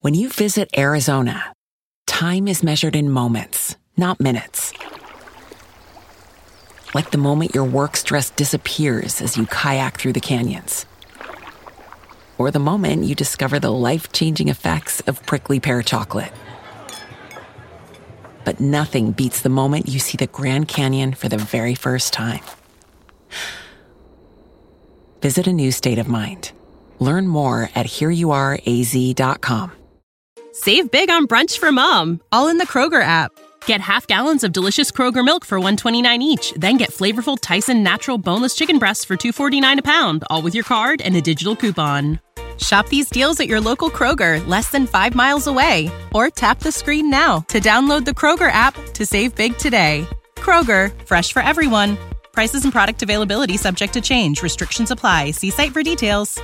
When you visit Arizona, time is measured in moments, not minutes. Like the moment your work stress disappears as you kayak through the canyons, or the moment you discover the life changing effects of prickly pear chocolate. But nothing beats the moment you see the Grand Canyon for the very first time. Visit a new state of mind. Learn more at hereyouareaz.com. Save big on brunch for mom, all in the Kroger app. Get half gallons of delicious Kroger milk for 129 each, then get flavorful Tyson natural boneless chicken breasts for 249 a pound, all with your card and a digital coupon. Shop these deals at your local Kroger, less than 5 miles away, or tap the screen now to download the Kroger app to save big today. Kroger, fresh for everyone. Prices and product availability subject to change. Restrictions apply. See site for details.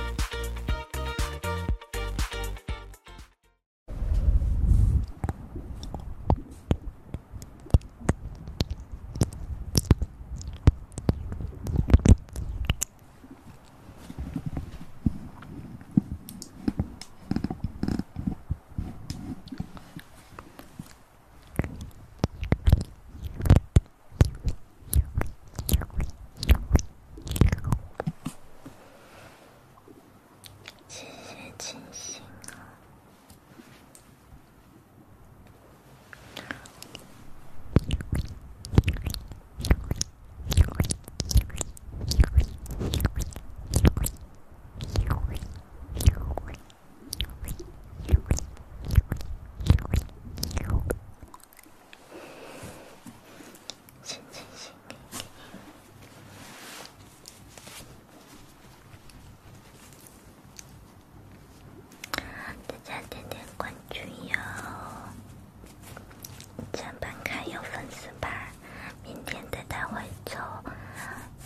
谢谢清醒啊。大家点点关注哟，奖板卡有粉丝牌，明天带他回抽。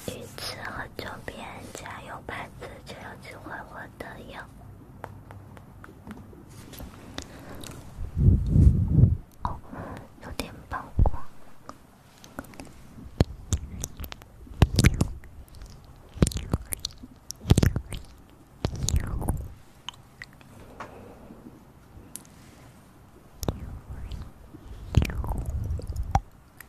每次和周边家有牌子就有机会获得赢。哦，有点曝光。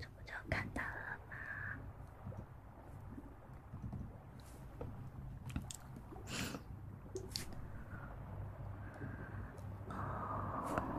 这不就看到了吗？哦。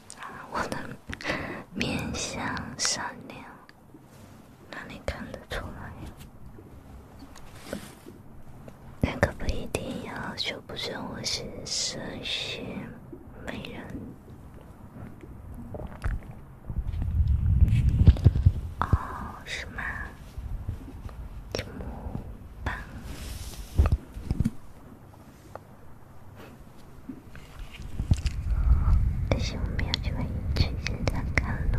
啊，我的面相善良，哪里看得出来？那可不一定要就不准我是神仙美人哦，是吗？真棒！可惜我没有机会去现场看了。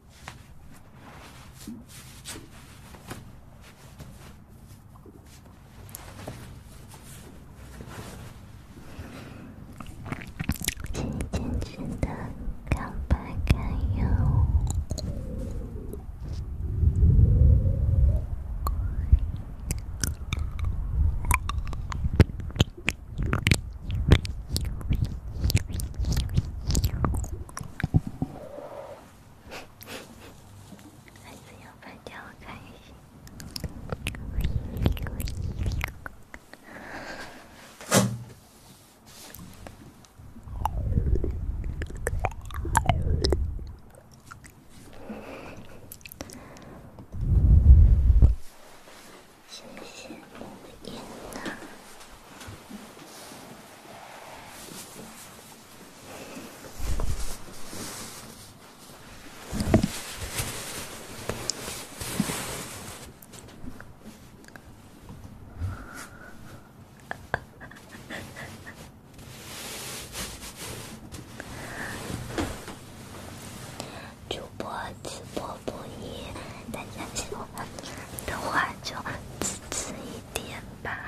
请你坚持的看白看哟。还是要拍点好看一些。谢谢，安娜。主播直播不易，大家喜欢的话就支持一。点吧。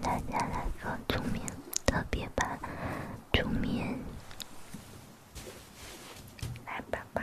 大家来说桌面，特别把桌面来摆摆。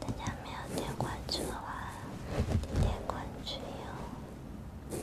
大家没有点关注的话，点点关注哟。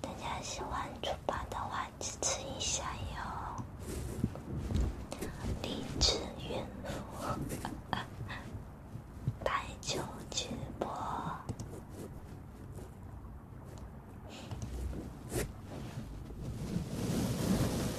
大家喜欢主播的话，支持一下哟！励志怨妇台 球直播。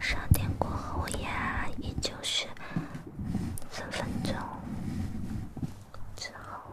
十二点过后呀，也就是三分钟之后。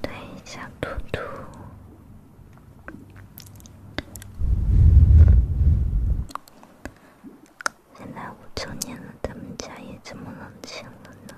对，小兔兔。现在五周年了，他们家也这么冷清了呢。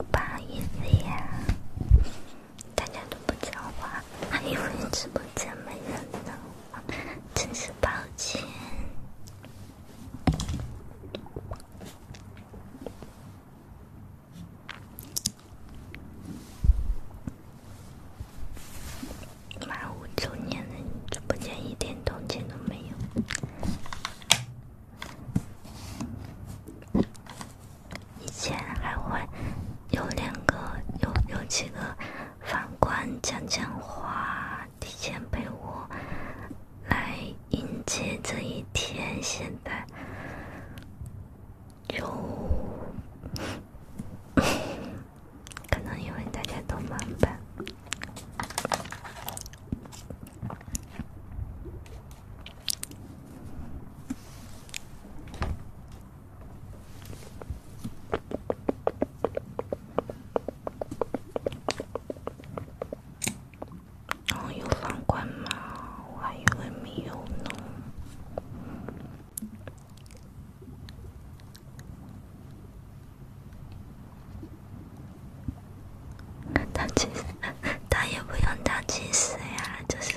不好意思呀。大家都不讲话，还以为直播间没人呢，真是抱歉。满五周年的直播间一点动静都没有。以前还会有两个，有有几个房官讲讲话，提前陪我来迎接这一天。现在，就可能因为大家都忙吧。然后有房管吗？我还以为没有呢。他其实，他也不用当祭司呀，就是。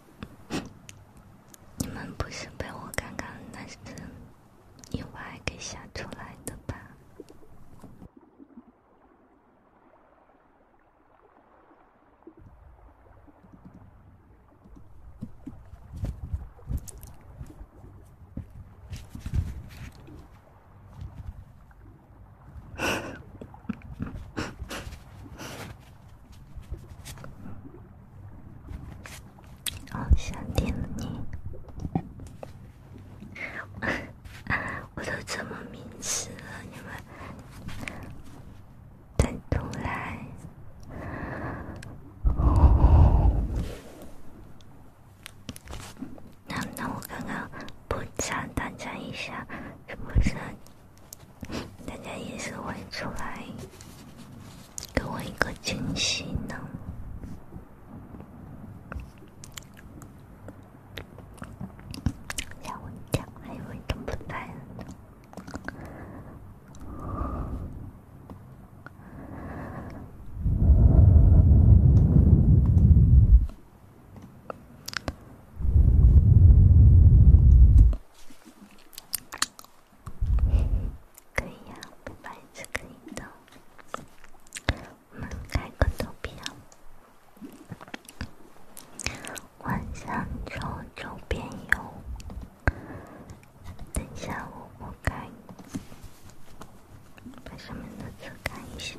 你们不是被我刚刚那次意外给吓出来的吧？哦，夏天你，我都这么明示了，你们再不来，那那我刚刚补偿大家一下，是不是？大家也是会出来给我一个惊喜呢，可以啊，每次可以的。我们开个投票，晚上抽周边游。等一下，我拨开，把下面的字看一下。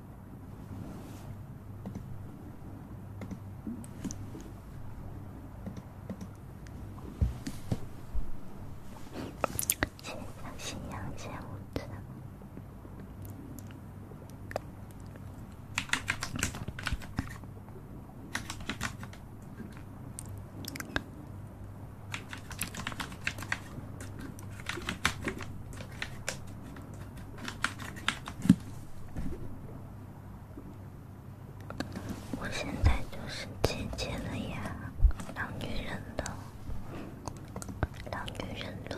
欣赏夕阳，现无常。我现在就是姐姐了呀，老女人了，老女人喽。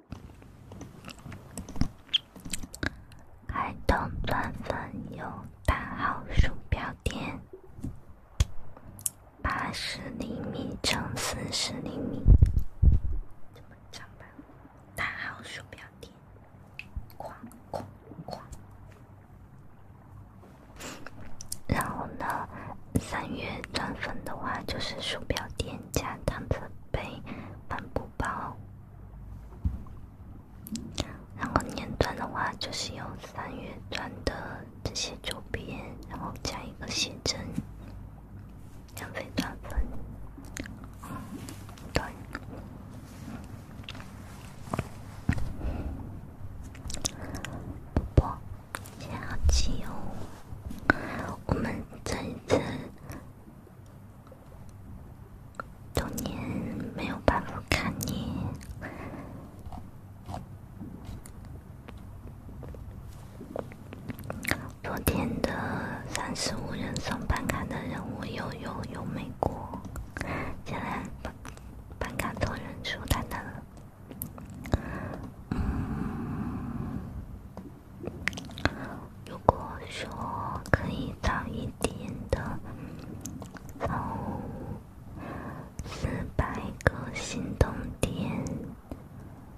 海东钻粉有大号鼠标垫，八十厘米乘四十厘米。这么长吧？大号鼠标垫，然后呢？三月钻粉的话就是鼠标垫加搪瓷杯、帆布包。然后年段的话，就是有三月段的这些周边，然后加一个写真，两枚钻粉。对，宝宝，下期哦，我们再一次。童年没有办法看你。昨天的三十五人送办卡的任务又有又没过，看来办卡总人数太难了。如果说可以早一点的走四百个心动点，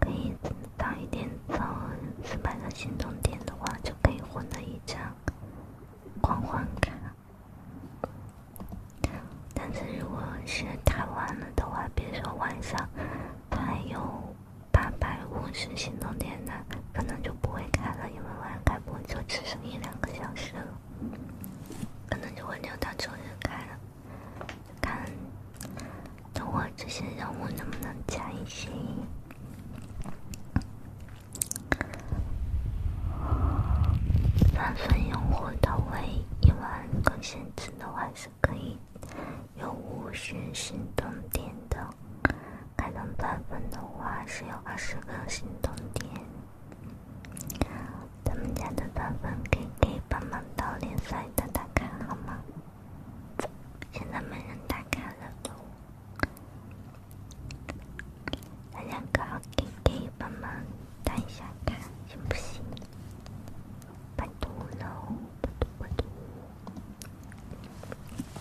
可以早一点走四百个心动点的话，就可以获得一张狂欢卡。但是如果是太晚了的话，比如说晚上，还有。八百五十行动点的，可能就不会开了，因为晚开播就只剩一两个小时了，可能就会留到周日开了。看，等我这些任务能不能加一些？三分用户到位，一万更新真的话是可以，有五十行动点的。开通八分的话是有二十个行动点，咱们家的八分可以可以帮忙到联赛打打看好吗？现在没人打开了，咱两个可以可以帮忙打一下看行不行？不读了，不读不读。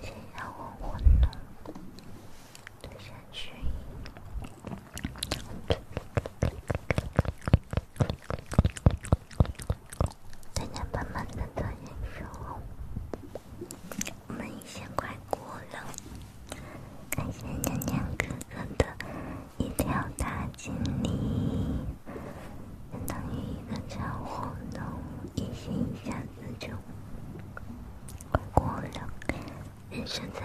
先让我我弄，先去。娘娘妈妈的，再见！我，我们已经快过了，感谢娘娘哥哥的。一条大锦鲤，相当于一个超火的，一心一下子就过了，人生在。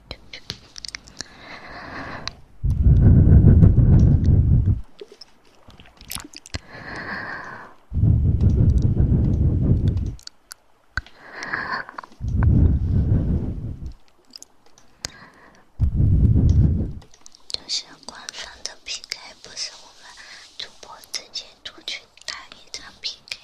这是官方的 PK，不是我们主播之间出去打一场 PK。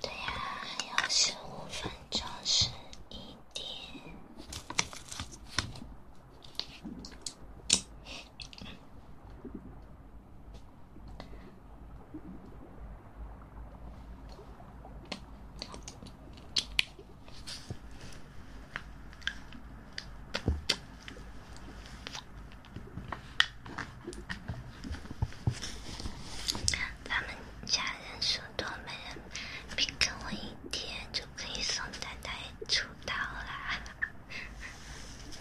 对呀，还有十五分钟，十一点。咱们家人数多，没人别跟我一天就可以送丹丹出道了。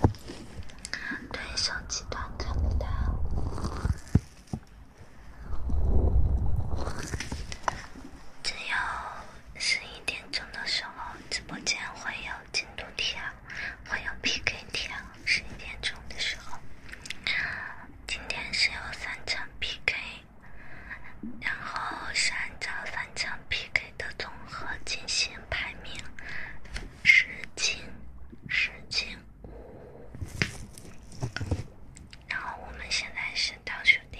对手集团看不到，只有。十一点钟的时候，直播间会有进度条，会有 PK 条。十一点钟的时候，今天是有三场 PK，然后是按照三场 PK 的总和进行排名，十进十进。五，然后我们现在是倒数第。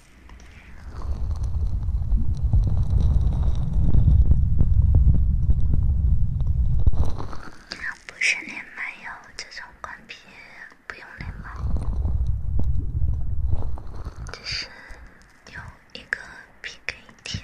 不是连麦哟，这种关闭不用连麦，只是用一个 P K 片。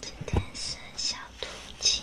今天是小兔吉。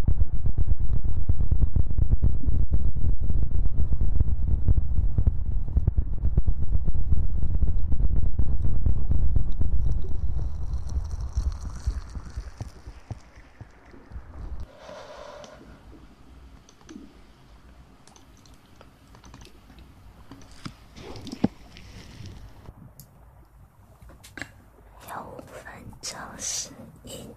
有五分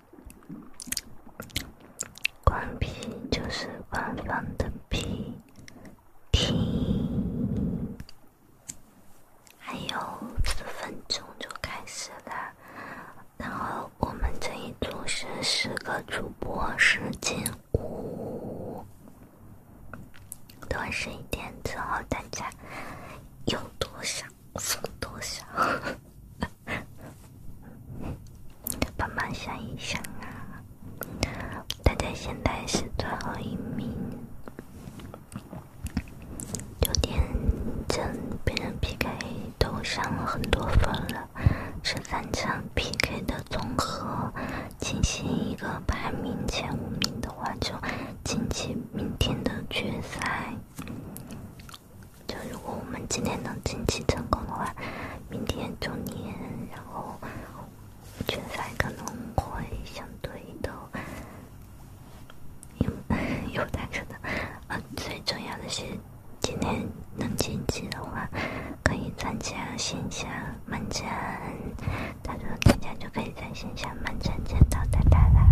关闭就是官方的闭，停。还有几分钟就开始了，然后我们这一组是十个主播，时间，五。多十一点之后，大家有多少？多少？帮忙想一想啊！大家现在是最后一名，有点真别人 PK 都上了很多分了，这三场 PK 的综合进行一个排名，前五名的话就晋级明天的决赛。就如果我们今天能晋级成功的话，明天周年，然后决赛可能会相对的有有难可能。啊，最重要的是今天能晋级的话，可以参加线下漫展，大家参加就可以在线下漫展见到大家啦。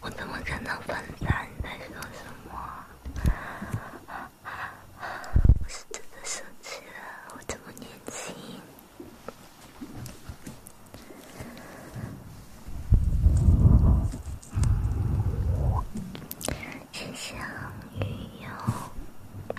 我怎么看到粉色？你在说什么？我是真的生气了。我这么年轻，谢谢雨哟。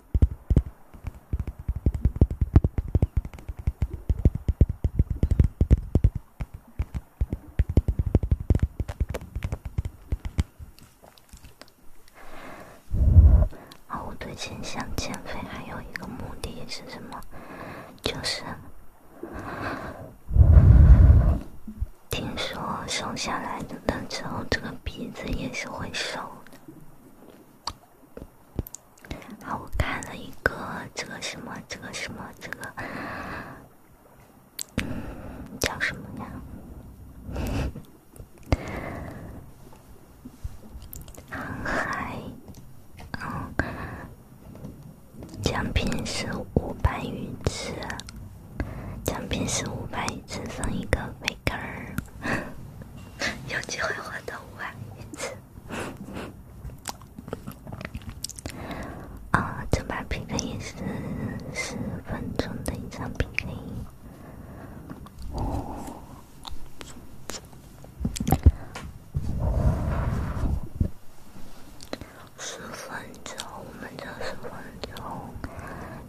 啊，我最近想减肥，还有一个目的是什么？就是听说瘦下来的。冷之后，这个鼻子也是会收的。好，我看了一个这个什么，这个什么，这个叫什么呀？航嗯，奖品是五百鱼次，奖品是五百鱼次，送一个。杯。P K，有机会获得五万一次。啊，这把 P K 也是十分钟的一场 P K，十分钟，我们叫十分钟。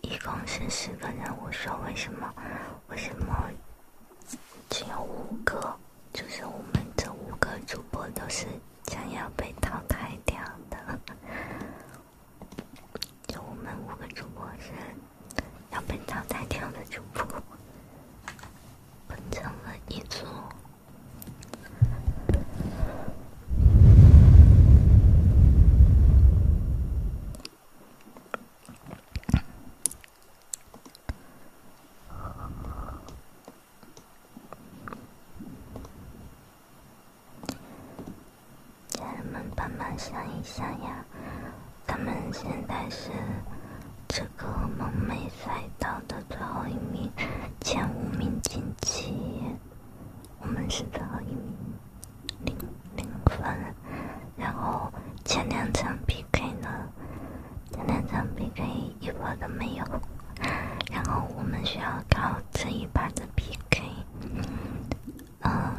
一共是十个人，我说为什么？为什么只有五个？就是我们这五个主播都是将要被淘汰掉的，就我们五个主播是要被淘汰掉的主播，分成了一组。咱们慢慢想一想呀。咱们现在是这个蒙昧赛道的最后一名，前五名晋级，我们是最后一名。零零分，然后前两场 P K 呢，前两场 P K 一波都没有，然后我们需要靠这一把的 P K，嗯，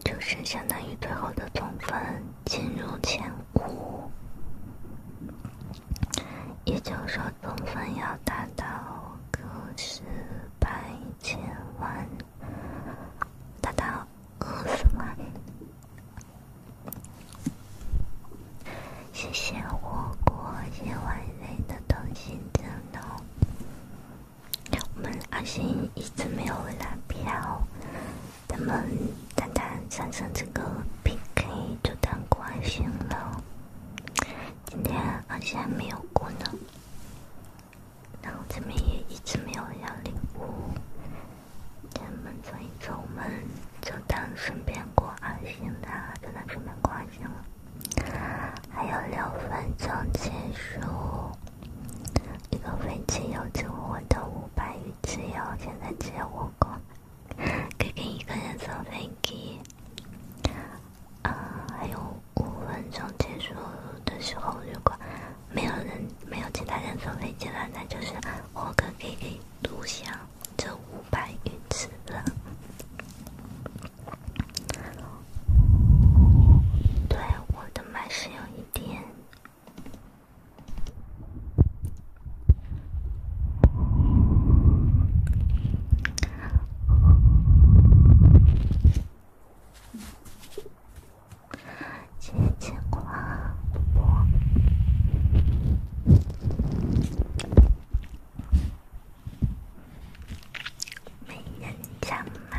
就是相当于最后的总分进入前五，也就是说。分分要达到个十百千万，达到十万。谢谢的同我们阿星一直没有拉票，他们单单产生这个 PK 就当关心了。今天而且还没有过呢，然后这边也一直没有要礼物。咱们走一走，们就当顺便过二线的，就当顺便过阿星了。还有六分钟结束，一个飞机油只我的五百余次油，现在只有五个。给给一个人坐飞机，啊，还有五分钟结束的时候，如果没有人、没有其他人坐飞机了，那就是我哥可以独享这五百余次了。对，我的麦是有一点。几牵挂，没人讲吗？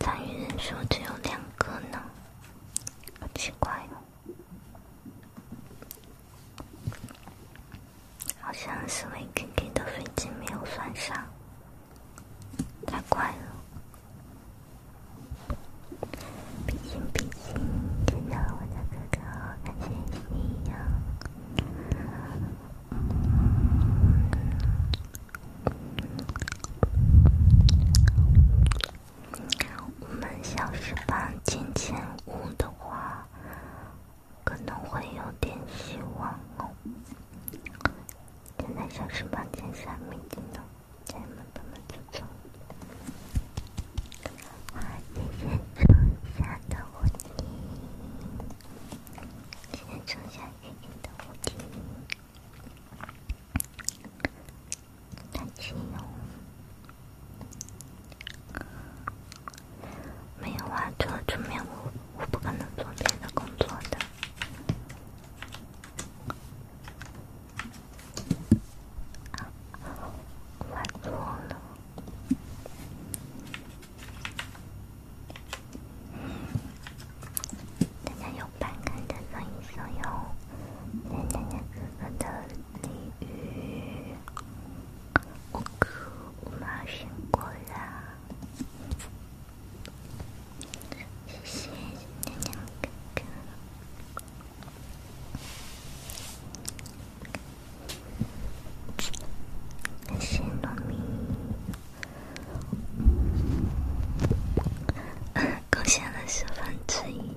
参与人数只有两个呢，好奇怪哦！好像是 v 给的飞机没有算上，太怪了！比心比心，见到我的哥哥，感谢你哟！我们小时帮金钱屋的话，可能会有点希望哦。现在小时帮钱上面的，咱们怎么去做？先冲下到底，先冲下底到底。但是没有，没有话，除了做面膜，我不可能做别的工作的。啊，我错了。大家有好看的可以送哟！奶奶奶奶，我的礼物我可高兴过了！谢谢奶奶，谢谢奶奶，谢谢奶奶。贡献了十分之一。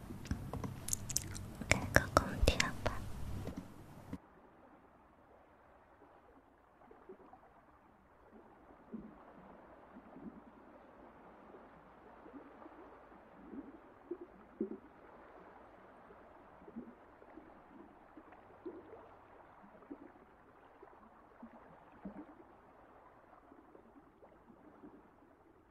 开个空调吧。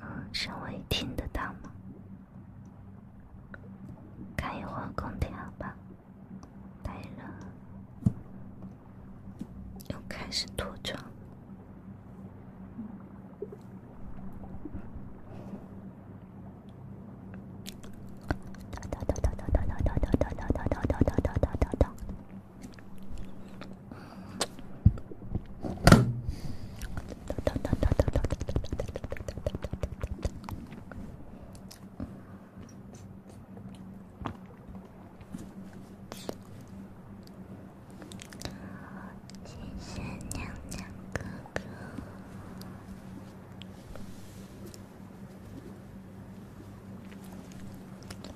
嗯，稍微听得到吗？开一会儿空调吧，太热了。又开始脱妆。谢谢娘娘哥哥。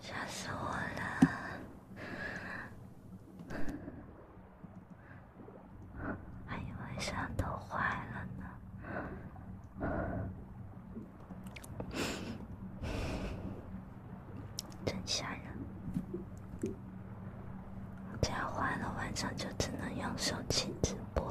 吓死我了！还有晚上都坏了呢，真吓人！这样坏了，晚上就只能用手机直播了。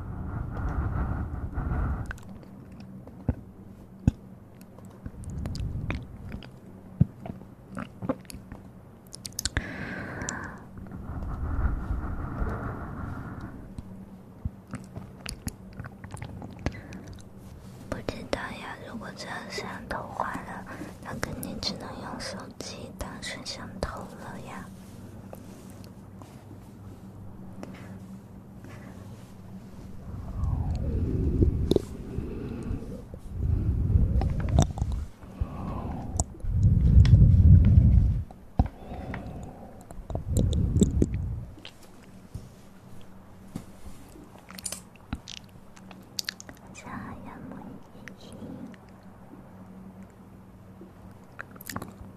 不知道呀，如果摄像头坏了，那肯定只能用手机当摄像头了呀。家人们一起。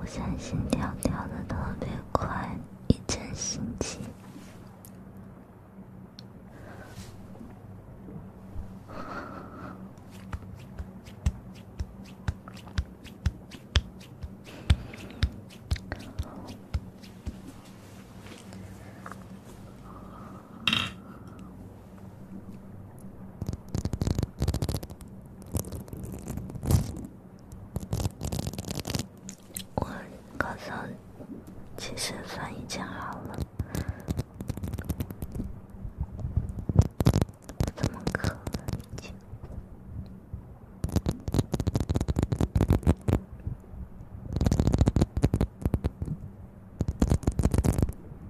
我相信调调跳的特别快，一阵心情。我高三其实算已经好了，怎么可以？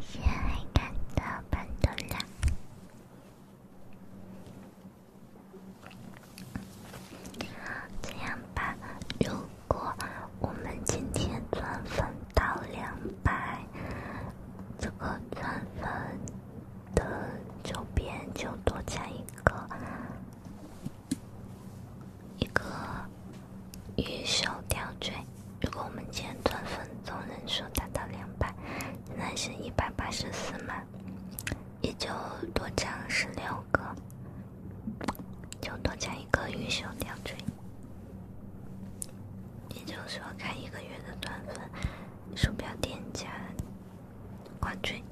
谢谢爱看的潘多拉。这样吧，如果我们今天钻粉到两百，这个钻粉的就别就多加一个。一个玉手吊坠。如果我们今天钻粉总人数达到两百，现在是一百八嘛，也就多加十六个，就多加一个玉手吊坠。也就是说，开一个月的短粉鼠标店家冠军，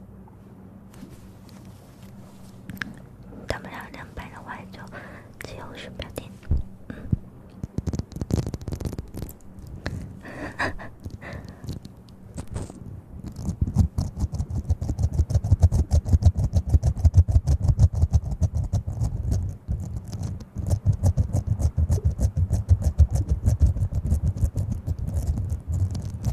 打不了两百的话就自由选标点。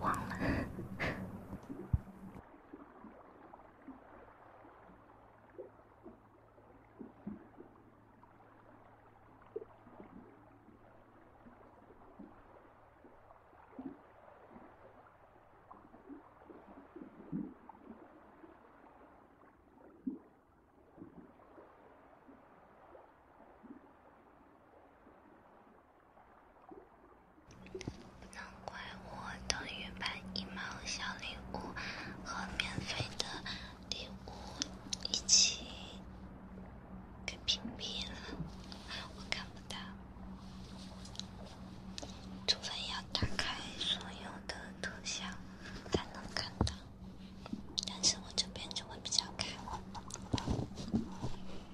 忘了。不能怪我，等于把一毛小礼物和免费的礼物一起给屏蔽了，我看不到，除非要打开所有的特效才能看到，但是我这边就会比较开。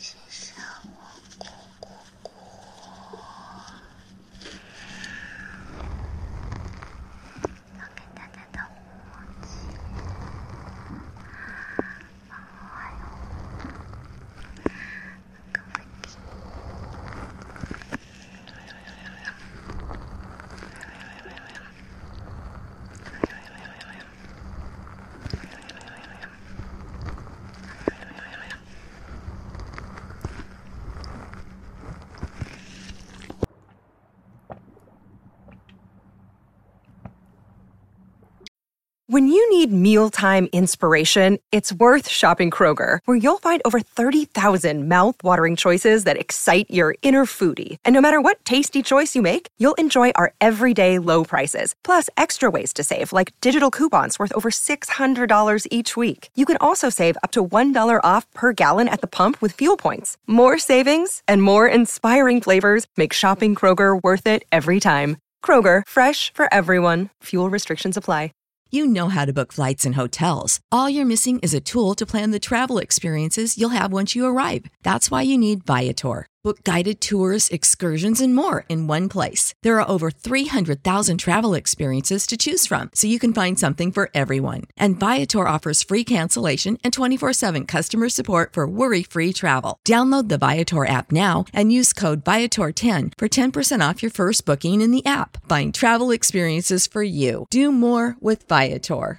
谢谢我姑姑，When you need mealtime inspiration, it's worth shopping Kroger, where you'll find over 30,000 mouthwatering choices that excite your inner foodie. And no matter what tasty choice you make, you'll enjoy our everyday low prices, plus extra ways to save, like digital coupons worth over $600 each week. You can also save up to $1 off per gallon at the pump with fuel points. More savings and more inspiring flavors make shopping Kroger worth it every time. Kroger, fresh for everyone. Fuel restrictions apply. You know how to book flights and hotels. All you're missing is a tool to plan the travel experiences you'll have once you arrive. That's why you need Viator. Book guided tours, excursions, and more in one place. There are over 300,000 travel experiences to choose from, so you can find something for everyone. And Viator offers free cancellation and 24 7 customer support for worry free travel. Download the Viator app now and use code Viator10 for 10% off your first booking in the app. Find travel experiences for you. Do more with Viator.